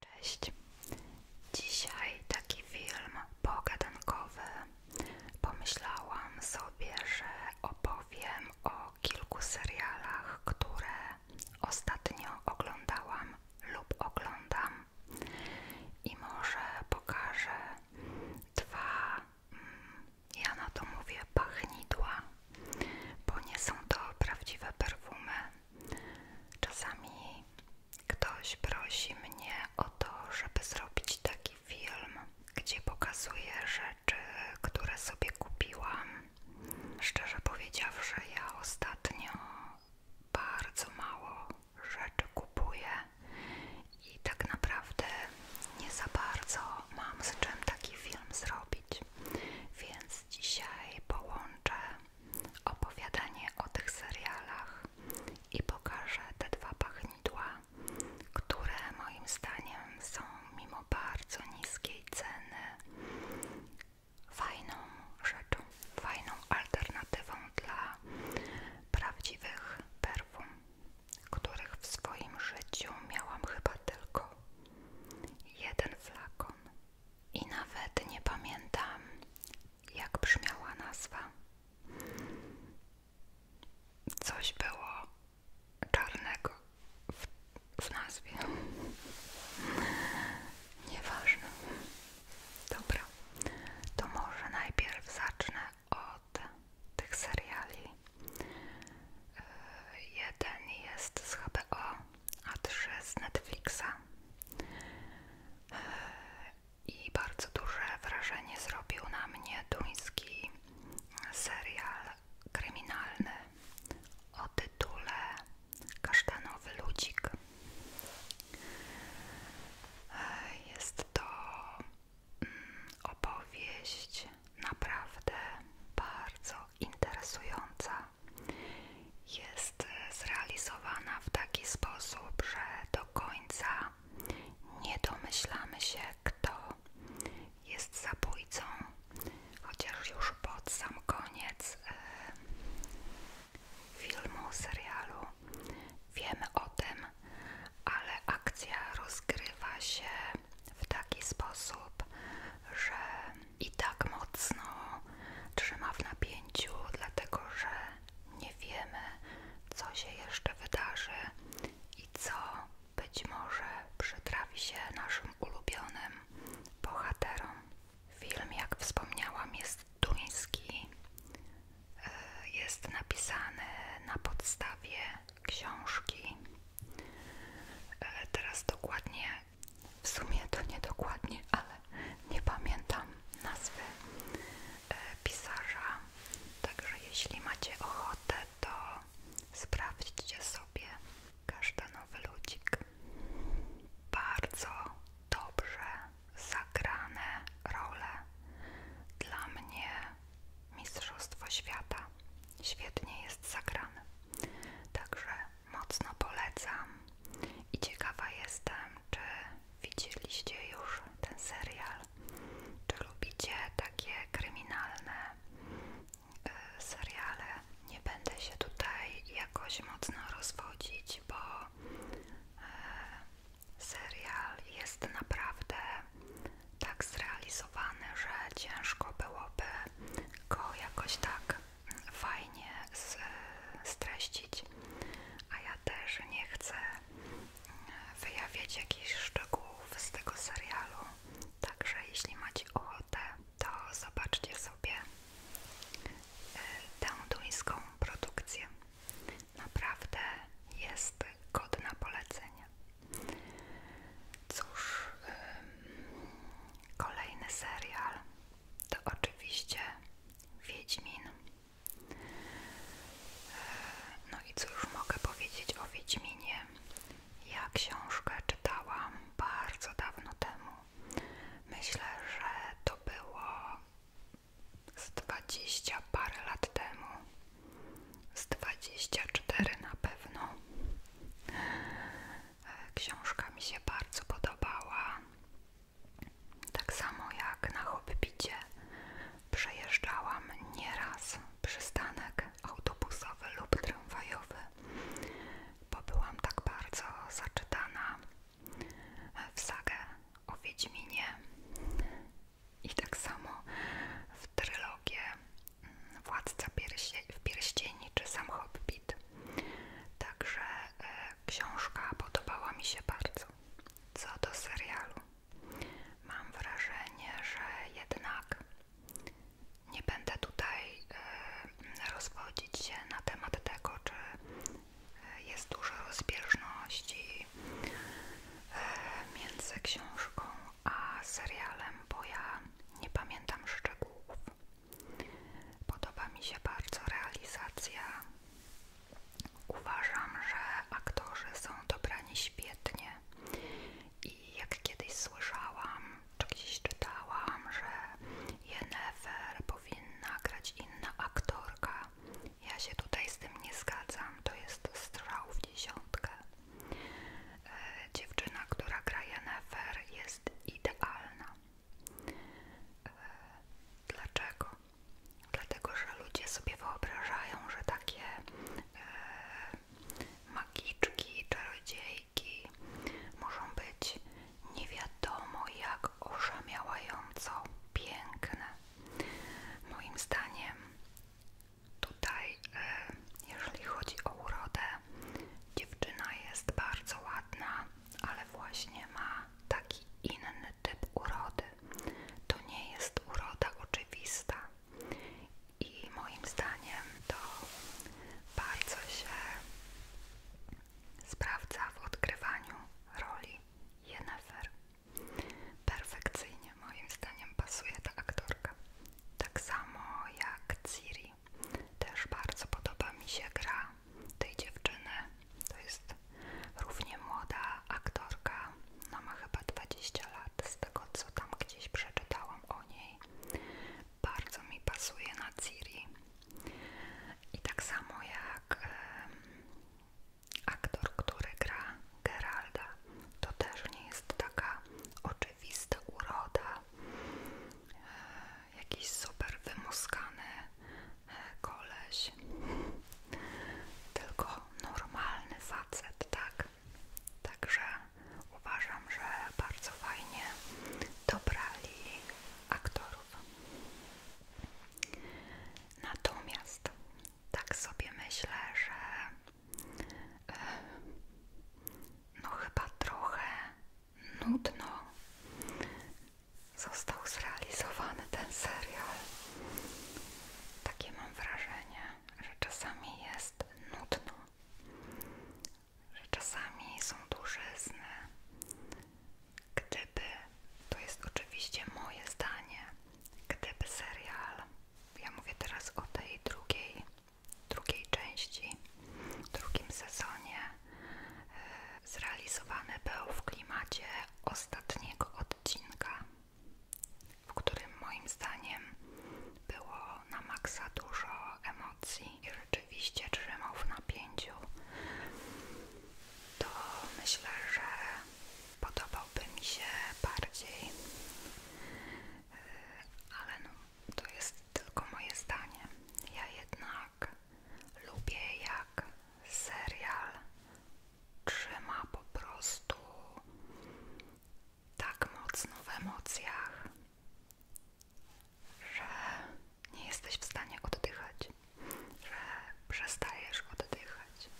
Cześć. Dzisiaj taki film pogadankowy. Pomyślałam sobie, że opowiem o kilku serialach, które ostatnio oglądałam lub oglądam. I może pokażę dwa, mm, ja na to mówię, pachnidła, bo nie są to prawdziwe perfumy, czasami ktoś prosi mnie o to, żeby zrobić taki film, gdzie pokazuję rzeczy, które sobie kupiłam. Szczerze powiedziawszy, ja ostatnio bardzo mało rzeczy kupuję i tak naprawdę nie za bardzo mam z czym taki film zrobić, więc dzisiaj połączę opowiadanie o tych serialach i pokażę te dwa pachnidła, które moim zdaniem są mimo bardzo niskiej ceny fajną rzeczą, fajną alternatywą dla prawdziwych perfum, których w swoim życiu miałam chyba tylko jeden flakon i nawet nie pamiętam, jak brzmiała nazwa. Coś było czarnego w, w nazwie. Nieważne. Dobra, to może najpierw zacznę od tych seriali. Jeden jest z HBO, a3 z Netflixa i bardzo duże wrażenie zrobił na mnie duński serial kryminalny o tytule Kasztanowy Ludzik. Jest to mm, opowieść naprawdę bardzo interesująca jest zrealizowana w taki sposób, że do końca nie domyślamy się, kto jest zabójcą, chociaż już pod sam koniec e, filmu, serialu wiemy o tym, ale akcja rozgrywa się w taki sposób, że i tak mocno trzyma w napięciu, dlatego że nie wiemy, co się jeszcze wydarzy i co być może przytrafi się naszym ulubionym bohaterom. Film, jak wspomniałam, jest duński. E, jest napisany na podstawie książki. E, teraz dokładnie w sumie to niedokładnie, ale nie pamiętam nazwy e, pisarza. Także jeśli macie ochotę, to sprawdźcie sobie każdy nowy ludzik. Bardzo dobrze zagrane role. Dla mnie Mistrzostwo Świata świetnie jest zagrany. Także mocno polecam i ciekawa jestem, czy widzieliście już ten serial, czy lubicie takie kryminalne y, seriale. Nie będę się tutaj jakoś mocno rozwodzić, bo y, serial jest naprawdę tak zrealizowany, że ciężko byłoby go jakoś tak fajnie z, streścić, a ja też nie chcę e, wyjawiać jakichś szczegółów z tego serialu. Także jeśli macie ochotę, to zobaczcie sobie e, tę duńską produkcję. Naprawdę jest godna polecenia wyzwanie. Cóż, kolejny serial to oczywiście Wiedźmin. E, no i cóż mogę powiedzieć o Wiedźminie? Ja książkę czytałam bardzo dawno temu. Myślę, że to było z dwadzieścia parę lat temu, z dwadzieścia cztery na pewno. Książka mi się bardzo podobała. Tak samo jak na Hobbicie przejeżdżałam nieraz przystanek autobusowy lub tramwajowy, bo byłam tak bardzo zaczytana w sagę o Wiedźminie. I tak samo w mm, Władca Piersie w Pierścieni czy Sam Hobbit. Także e, książka podobała mi się bardzo. Co do serialu, mam wrażenie, że jednak nie będę tutaj e, rozwodzić się na temat tego, czy e, jest dużo rozbieżności e, między książką a serialem, bo ja nie pamiętam szczegółów. Podoba mi się bardzo realizacja. Uważam, że aktorzy są dobrani świetnie i jak kiedyś słyszałam, czy gdzieś czytałam, że Jennifer powinna grać inna aktorka. Ja się tutaj z tym nie zgadzam, to jest strzał w dziesiątkę. E, dziewczyna, która gra Jennifer jest idealna. E, dlaczego? Dlatego, że ludzie sobie wyobrażają, że takie e, magiczki, czarodziejki muszą być nie wiadomo jak oszamiałająco piękne. Moim zdaniem Tutaj, e, jeżeli chodzi o urodę, dziewczyna jest bardzo ładna, ale właśnie ma taki inny typ urody. To nie jest uroda oczywista. I moim zdaniem to bardzo się sprawdza w odgrywaniu roli Jennifer perfekcyjnie moim zdaniem pasuje ta aktorka. Tak samo jak Ciri. Też bardzo podoba mi się gra tej dziewczyny. To jest równie młoda aktorka. No, ma chyba 20 lat z tego co tam gdzieś przeczytałam o niej. Bardzo mi pasuje na Ciri. I tak samo jak aktor, który gra Geralda to też nie jest taka oczywista uroda, e, jakiś super wymuskany e, koleś, tylko normalny facet, tak? Także uważam, że bardzo fajnie dobrali aktorów. Natomiast tak sobie myślę, że no chyba trochę nudno został zrealizowany ten serial. Takie mam wrażenie, że czasami jest nudno, że czasami są duże dużyzny. Gdyby, to jest oczywiście moje zdanie, gdyby serial, ja mówię teraz o tej drugiej drugiej części, drugim sezonie e, zrealizowany był w klimacie ostatniego odcinka, w którym moim zdaniem było na maksa dużo emocji i rzeczywiście trzymał w napięciu, to myślę, że podobałby mi się bardziej ale no, to jest tylko moje zdanie. Ja jednak lubię jak serial trzyma po prostu tak mocno w emocjach, że nie jesteś w stanie oddychać, że przestajesz oddychać.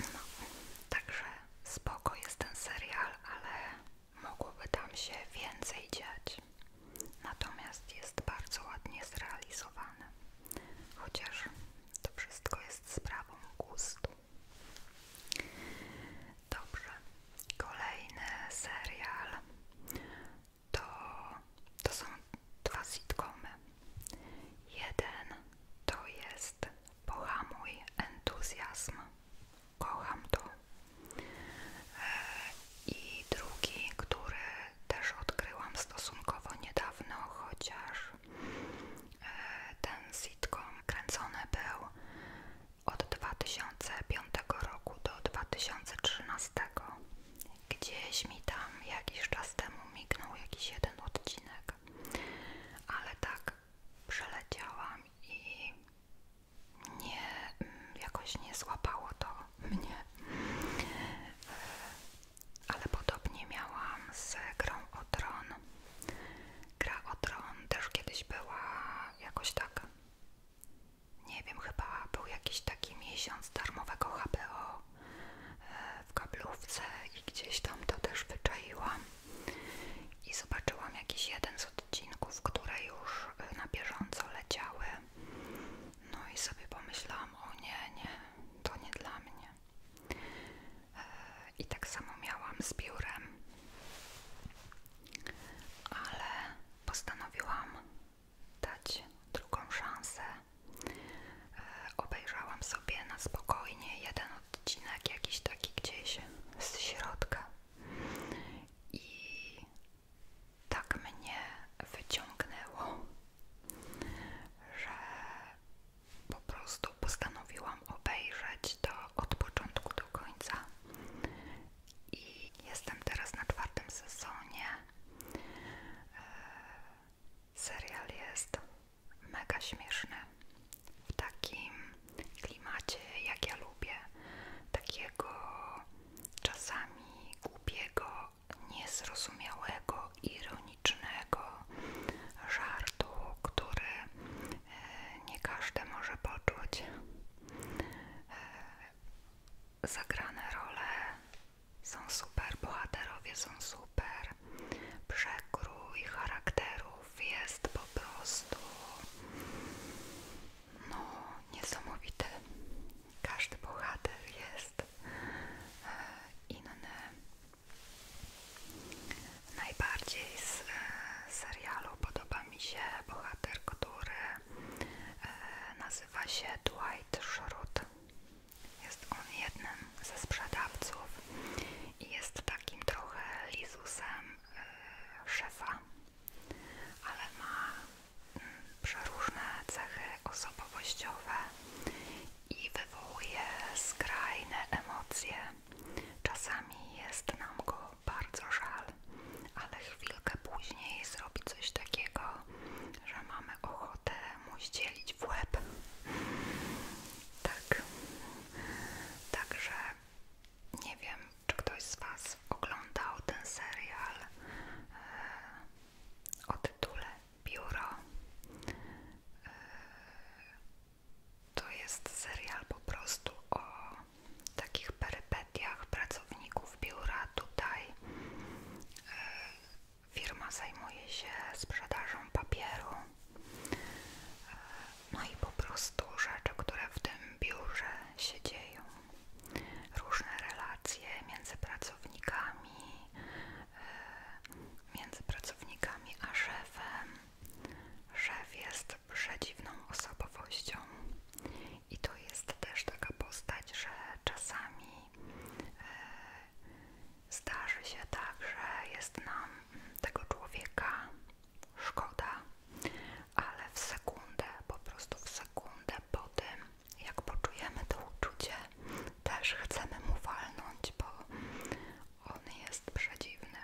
No, także spoko jest ten serial, ale mogłoby tam się więcej dziać. Natomiast jest bardzo ładnie zrealizowany. Chociaż to wszystko jest sprawą gustu. Dobrze. Kolejny serial to, to są dwa sitcomy. Jeden to jest jest pohamuj entuzjazm. Kocham to. E, I drugi, który też odkryłam stosunkowo niedawno, chociaż e, ten sitcom kręcony był od 2005 roku do 2013. Gdzieś mi tam jakiś czas temu mignął jakiś jeden odcinek. Tak. Ale tak przeleciałam i nie, jakoś nie złapało to mnie. E, ale podobnie miałam z grą o tron. Gra o tron też kiedyś była jakoś tak. Nie wiem, chyba był jakiś taki miesiąc darmowego HBO E, w kablówce i gdzieś tam to też wyczaiłam i zobaczyłam jakiś jeden z odcinków, które już e, na bieżąco leciały no i sobie pomyślałam, o nie, nie, to nie dla mnie e, i tak samo miałam z biurem ale postanowiłam dać drugą szansę Obejrzałam sobie na spokojnie jeden odcinek, jakiś taki gdzieś z środka i tak mnie wyciągnęło, że po prostu postanowiłam obejrzeć to od początku do końca. I jestem teraz na czwartym sezonie serial jest mega śmieszny w takim klimacie, jak ja lubię, takiego czasami głupiego, niezrozumiałego, ironicznego żartu, który e, nie każdy może poczuć. E, zagrane role są super, bohaterowie są super, przekrój charakterów jest po prostu no niesamowity. Każdy bohater jest e, inny. Najbardziej z e, serialu podoba mi się bohater, który e, nazywa się Dwight Schrute. Jest on jednym ze sprzedawców i jest takim trochę lizusem e, szefa, ale ma yy, przeróżne cechy osobowościowe i wywołuje skrajne emocje. Czasami jest nam go bardzo żal, ale chwilkę później zrobi coś takiego, że mamy ochotę mu dzielić w łeb. Tak. Także nie wiem, czy ktoś z Was oglądał ten serial e, o tytule Biuro. E, to jest serial po prostu o takich perypetiach pracowników biura tutaj. E, Firma zajmuje się sprzedażą papieru. E, no i po prostu rzeczy, które w tym biurze się dzieją. Różne relacje między pracownikami, e, między pracownikami a szefem. Szef jest przedziwną osobowością. I to jest też taka postać, że czasami e, Zdarzy się tak, że jest nam tego człowieka szkoda, ale w sekundę, po prostu w sekundę po tym, jak poczujemy to uczucie, też chcemy mu walnąć, bo on jest przedziwny,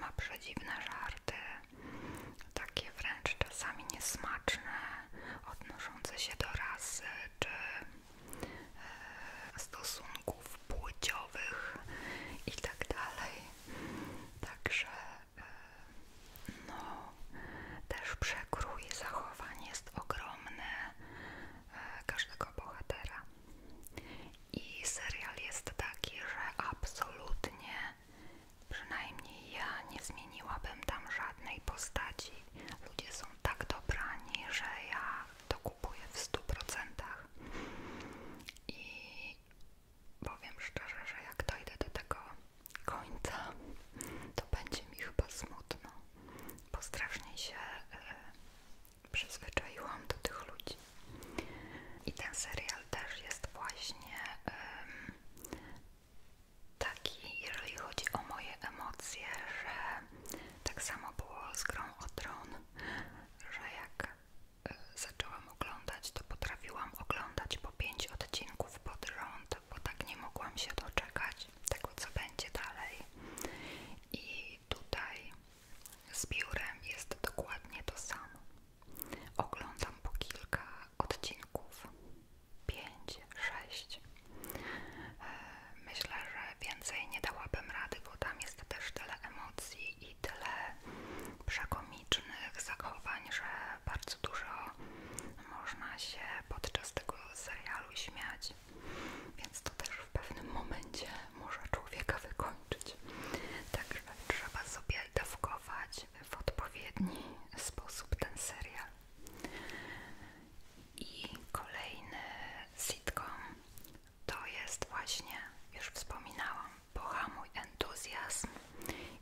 ma przedziwne żarty, takie wręcz czasami niesmaczne, odnoszące się do rasy czy E, stosunków płciowych i tak dalej. Także e, no, też przekrój zachowań jest ogromny e, każdego bohatera. I serial jest taki, że absolutnie, przynajmniej ja nie zmieniłabym tam żadnej postaci. Ludzie są tak dobrani, że ja to kupuję w 100% i powiem szczerze, że jak dojdę do tego końca, to będzie mi chyba smutno, bo strasznie się y, przyzwyczaiłam do tych ludzi. I ten serial też jest właśnie taki, jeżeli chodzi o moje emocje, że tak samo było z grą o tron, że jak e, zaczęłam oglądać, to potrafiłam oglądać po 5 odcinków pod rząd, bo tak nie mogłam się doczekać tego, co będzie dalej. I tutaj z biurem jest dokładnie to samo. Oglądam po kilka odcinków. 5, 6 E, myślę, że więcej nie dałabym rady, bo tam jest też tyle emocji i tyle przekomicznych zachowań, że bardzo dużo można się podczas tego serialu śmiać. Więc to też w pewnym momencie może człowieka wykończyć. Także trzeba sobie dawkować w odpowiedni sposób ten serial. I kolejny sitcom to jest właśnie, już wspominałam, Pohamuj entuzjazm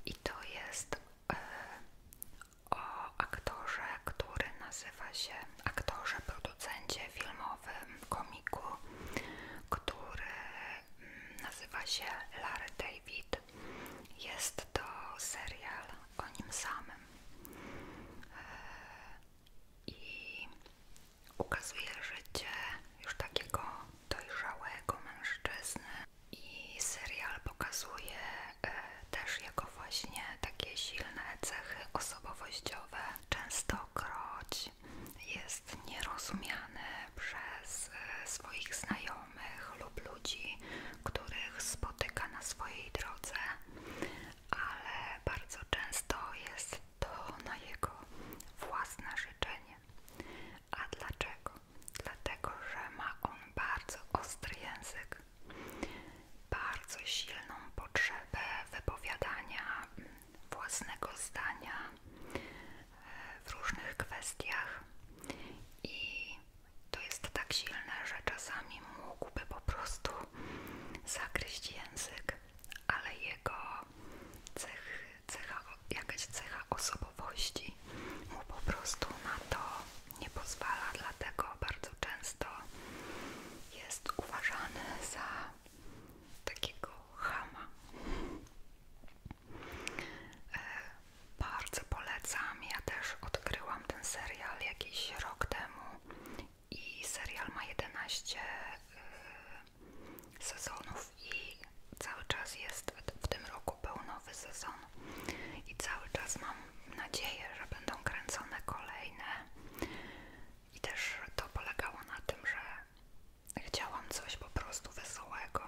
i to jest e, o aktorze, który nazywa się aktorze, producencie filmowym, komiku, który mm, nazywa się Larry David. Jest to serial o nim samym i ukazuje życie już takiego dojrzałego mężczyzny i serial pokazuje e, też jego właśnie takie silne cechy osobowościowe. Częstokroć jest nierozumiany przez e, swoich znajomych lub ludzi, których spotyka na swojej drodze, ale bardzo często jest to na jego własne życzenie. A dlaczego? Dlatego, że ma on bardzo ostry język, bardzo silną potrzebę wypowiadania własnego zdania w różnych kwestiach to jest tak silne, że czasami mógłby po prostu zakryć język, ale jego cecha, jakaś cecha osobowości mu po prostu na to nie pozwala, dlatego bardzo często jest uważany za takiego chama. E, bardzo polecam. Ja też odkryłam ten serial jakiś rok temu i serial ma 11 y, sezonów i cały czas jest, w tym roku był sezon i cały czas mam nadzieję, że będą kręcone kolejne i też to polegało na tym, że chciałam coś po prostu wesołego.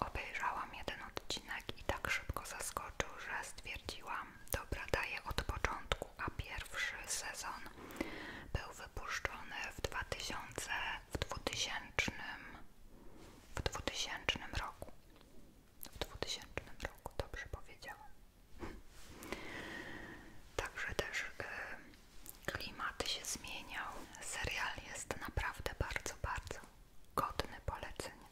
Obejrzałam jeden odcinek i tak szybko zaskoczył, że stwierdziłam Dobra, daję od początku, a pierwszy sezon był wypuszczony w 2000, w 2000, w 2000 roku. W 2000 roku, dobrze powiedziałam. Także też y, klimaty się zmieniał. Serial jest naprawdę bardzo, bardzo godny polecenia.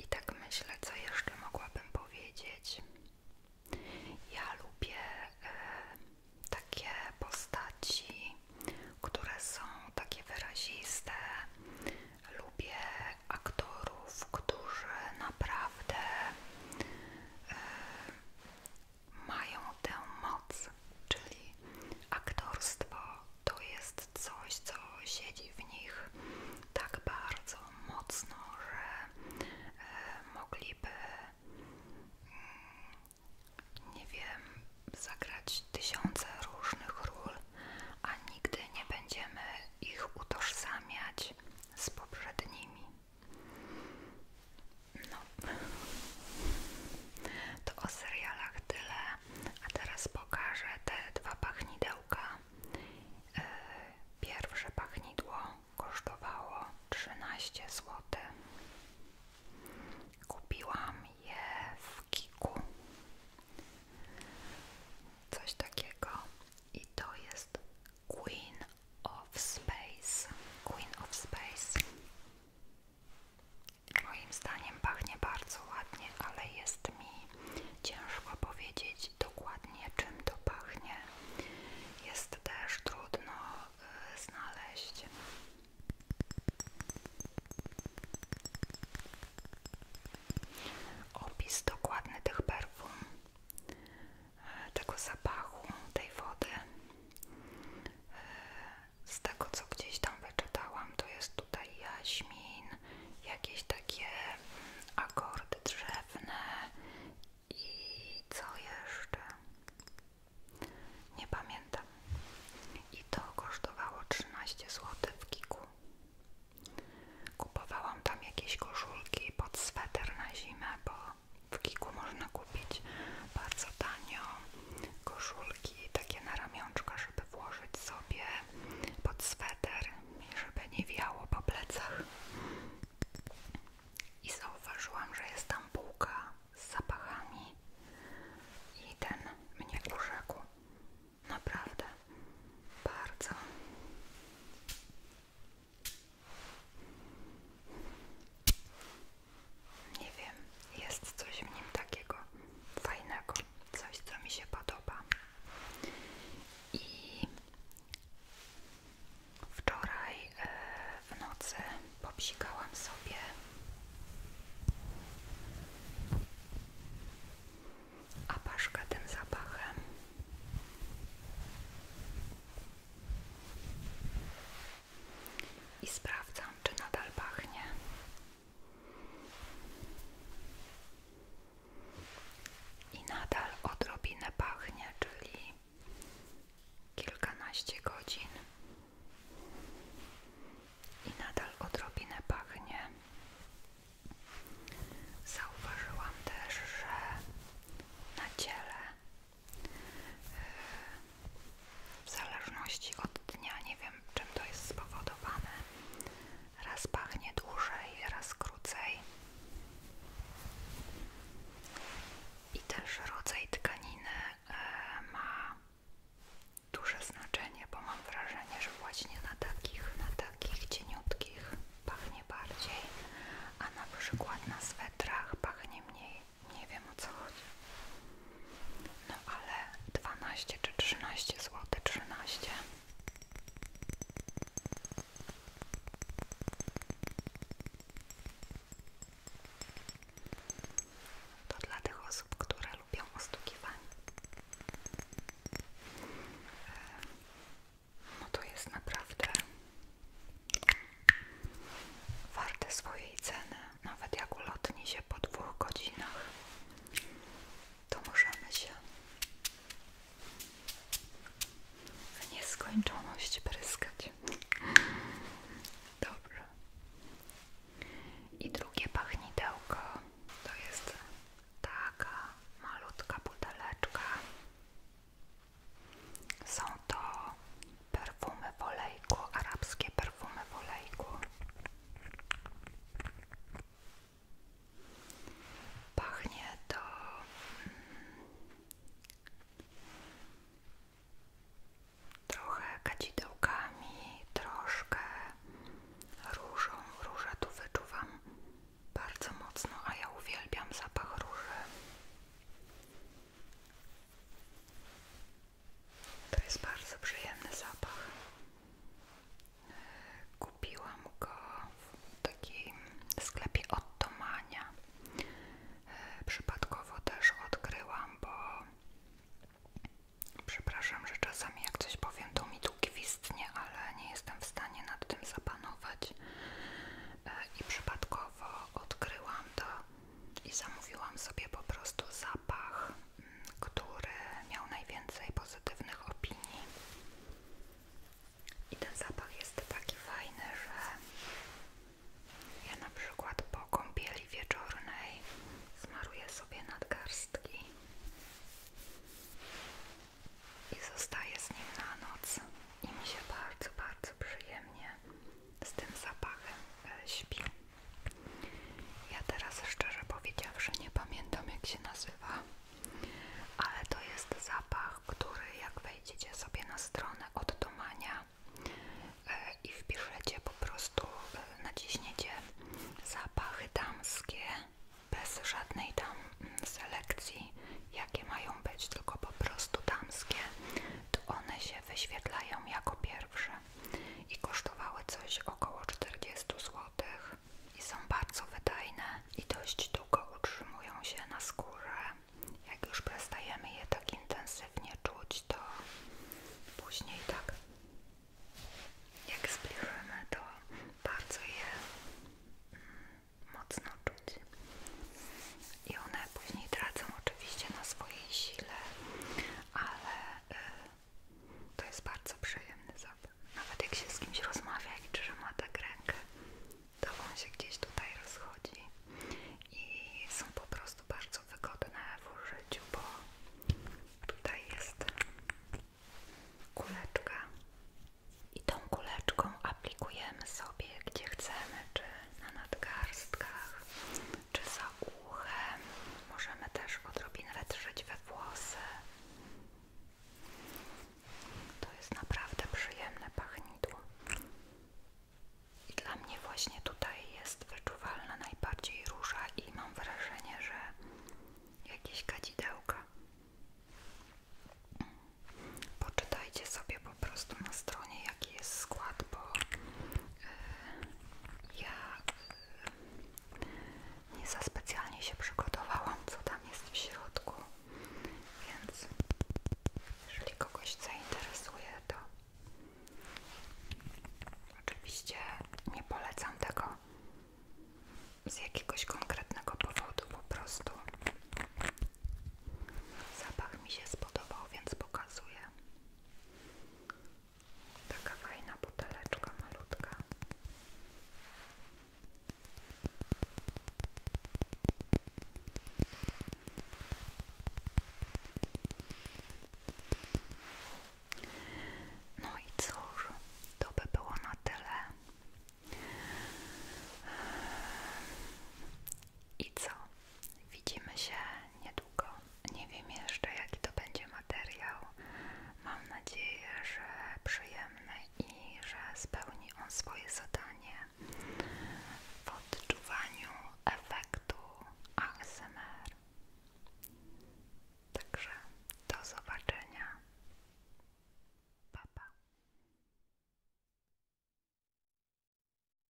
I tak myślę, co jeszcze mogłabym powiedzieć. Ja lubię e, takie postaci, które są takie wyraziste. Lubię aktorów, którzy naprawdę e, mają tę moc, czyli aktorstwo to jest coś, co siedzi w nich tak bardzo mocno, że e, mogliby, mm, nie wiem, zagrać tysiące różnych ról, a nigdy nie będziemy ich utożsamiać z poprzednimi. No, to o serialach tyle. A teraz pokażę te dwa pachnidełka. E, pierwsze pachnidło kosztowało 13 zł. Kupiłam je w Kiku. Coś takiego. I to jest Queen of Space. Queen of Space. Moim zdaniem pachnie bardzo ładnie, ale jest mi ciężko powiedzieć dokładnie czym to pachnie. Jest też trudno y, znaleźć. Opis dokładny tych perfum, y, tego zapachu, tej wody. Y, z tego co gdzieś tam wyczytałam, to jest tutaj jaśmin, jakieś takie mm, akordy drzewne i co jeszcze? Nie pamiętam. I to kosztowało 13 zł w Kiku. Kupowałam tam jakieś koszulki pod sweter na zimę, bo w Kiku można kupić bardzo tanio koszulki kulki takie na ramionczka, żeby włożyć sobie pod sweter i żeby nie wiało po plecach. I zauważyłam, że jest tam półka z zapachami i ten mnie urzekł. Naprawdę. Bardzo. Nie wiem, jest coś w nim takiego fajnego, coś co mi się podoba. I wczoraj e, w nocy popsikałam sobie apaszkę tym zapachem. I sprawdzam, czy nadal pachnie. I nadal odrobinę pachnie, czyli kilkanaście godzin. I nadal odrobinę pachnie. Zauważyłam też, że na ciele y, w zależności od dnia, nie wiem czym to jest spowodowane. Raz pachnie dłużej, raz krócej. I też rodzaj tkaniny e, ma duże znaczenie, bo mam wrażenie, że właśnie na takich, na takich cieniutkich pachnie bardziej, a na przykład na swetrach pachnie mniej. Nie wiem o co chodzi. No ale dwanaście czy trzynaście zł, trzynaście. To dla tych osób, które lubią ostukiwanie. E, no to jest naprawdę warte swojej ceny nawet jak ulotni się po dwóch godzinach, to możemy się w nieskończoność pryskać. Dobrze. I drugie pachnidełko to jest taka malutka buteleczka. Są to perfumy w olejku, arabskie perfumy w olejku. Pachnie to mm, trochę kadzidełkami, troszkę różą. Różę tu wyczuwam bardzo mocno, a ja uwielbiam zapach róży. To jest bardzo przyjemny zapach. Kupiłam go w takim sklepie od Tomania. Przypadkowo też odkryłam, bo przepraszam, że czasami jak coś powiem, to mi tu gwizdnie, ale nie jestem w stanie nad tym zapanować. E, I przypadkowo odkryłam to i zamówiłam sobie po prostu zapach, mm, który miał najwięcej pozytywnych opinii. I ten zapach jest taki fajny, że ja na przykład po kąpieli wieczornej smaruję sobie nad nadgarstki i zostaję z nim na noc i mi się bardzo, bardzo przyjemnie z tym zapachem e, śpi. Ja teraz szczerze powiedziawszy nie pamiętam jak się nazywa, ale to jest zapach, który jak wejdziecie sobie na stronę oddomania e, i wpiszecie po prostu, e, naciśniecie zapachy damskie bez żadnej tam mm, selekcji, jakie mają być, tylko po prostu damskie, to one się wyświetlają jako pierwsze i kosztowały coś około 40 zł i są bardzo wydajne i dość długo utrzymują się na skórze. Jak już przestajemy je tak intensywnie czuć, to później tak jak zbliżymy, to bardzo je mm, mocno czuć. I one później tracą oczywiście na swojej sile, ale y, to jest bardzo przyjemny zapach. Nawet jak się z kimś rozmawia i trzyma tak rękę, to on się gdzieś tutaj rozchodzi i są po prostu bardzo wygodne w użyciu, bo tutaj jest kuleczka i tą kuleczką aplikujemy sobie gdzie chcemy, czy na nadgarstkach, czy za uchem. Możemy też odrobinę wytrzeć we włosy. To jest naprawdę przyjemne pachnidło. I dla mnie właśnie tutaj jest wyczuwalna najbardziej róża i mam wrażenie, że jakieś kadzidełka. Poczytajcie sobie po prostu na stronie jaki jest skład, bo ja y, nie za specjalnie się przygotowałam, co tam jest w środku, więc jeżeli kogoś zainteresuje, to oczywiście nie polecam tego z jakiegoś konkretnego powodu, po prostu zapach mi się spodobał, więc pokazuję. Taka fajna buteleczka malutka. No i cóż, to by było na tyle. I co? Widzimy się niedługo. Nie wiem jeszcze, jaki to będzie materiał. Mam nadzieję, że przyjemny i że spełni on swoje zadanie w odczuwaniu efektu ASMR. Także do zobaczenia. Pa, pa.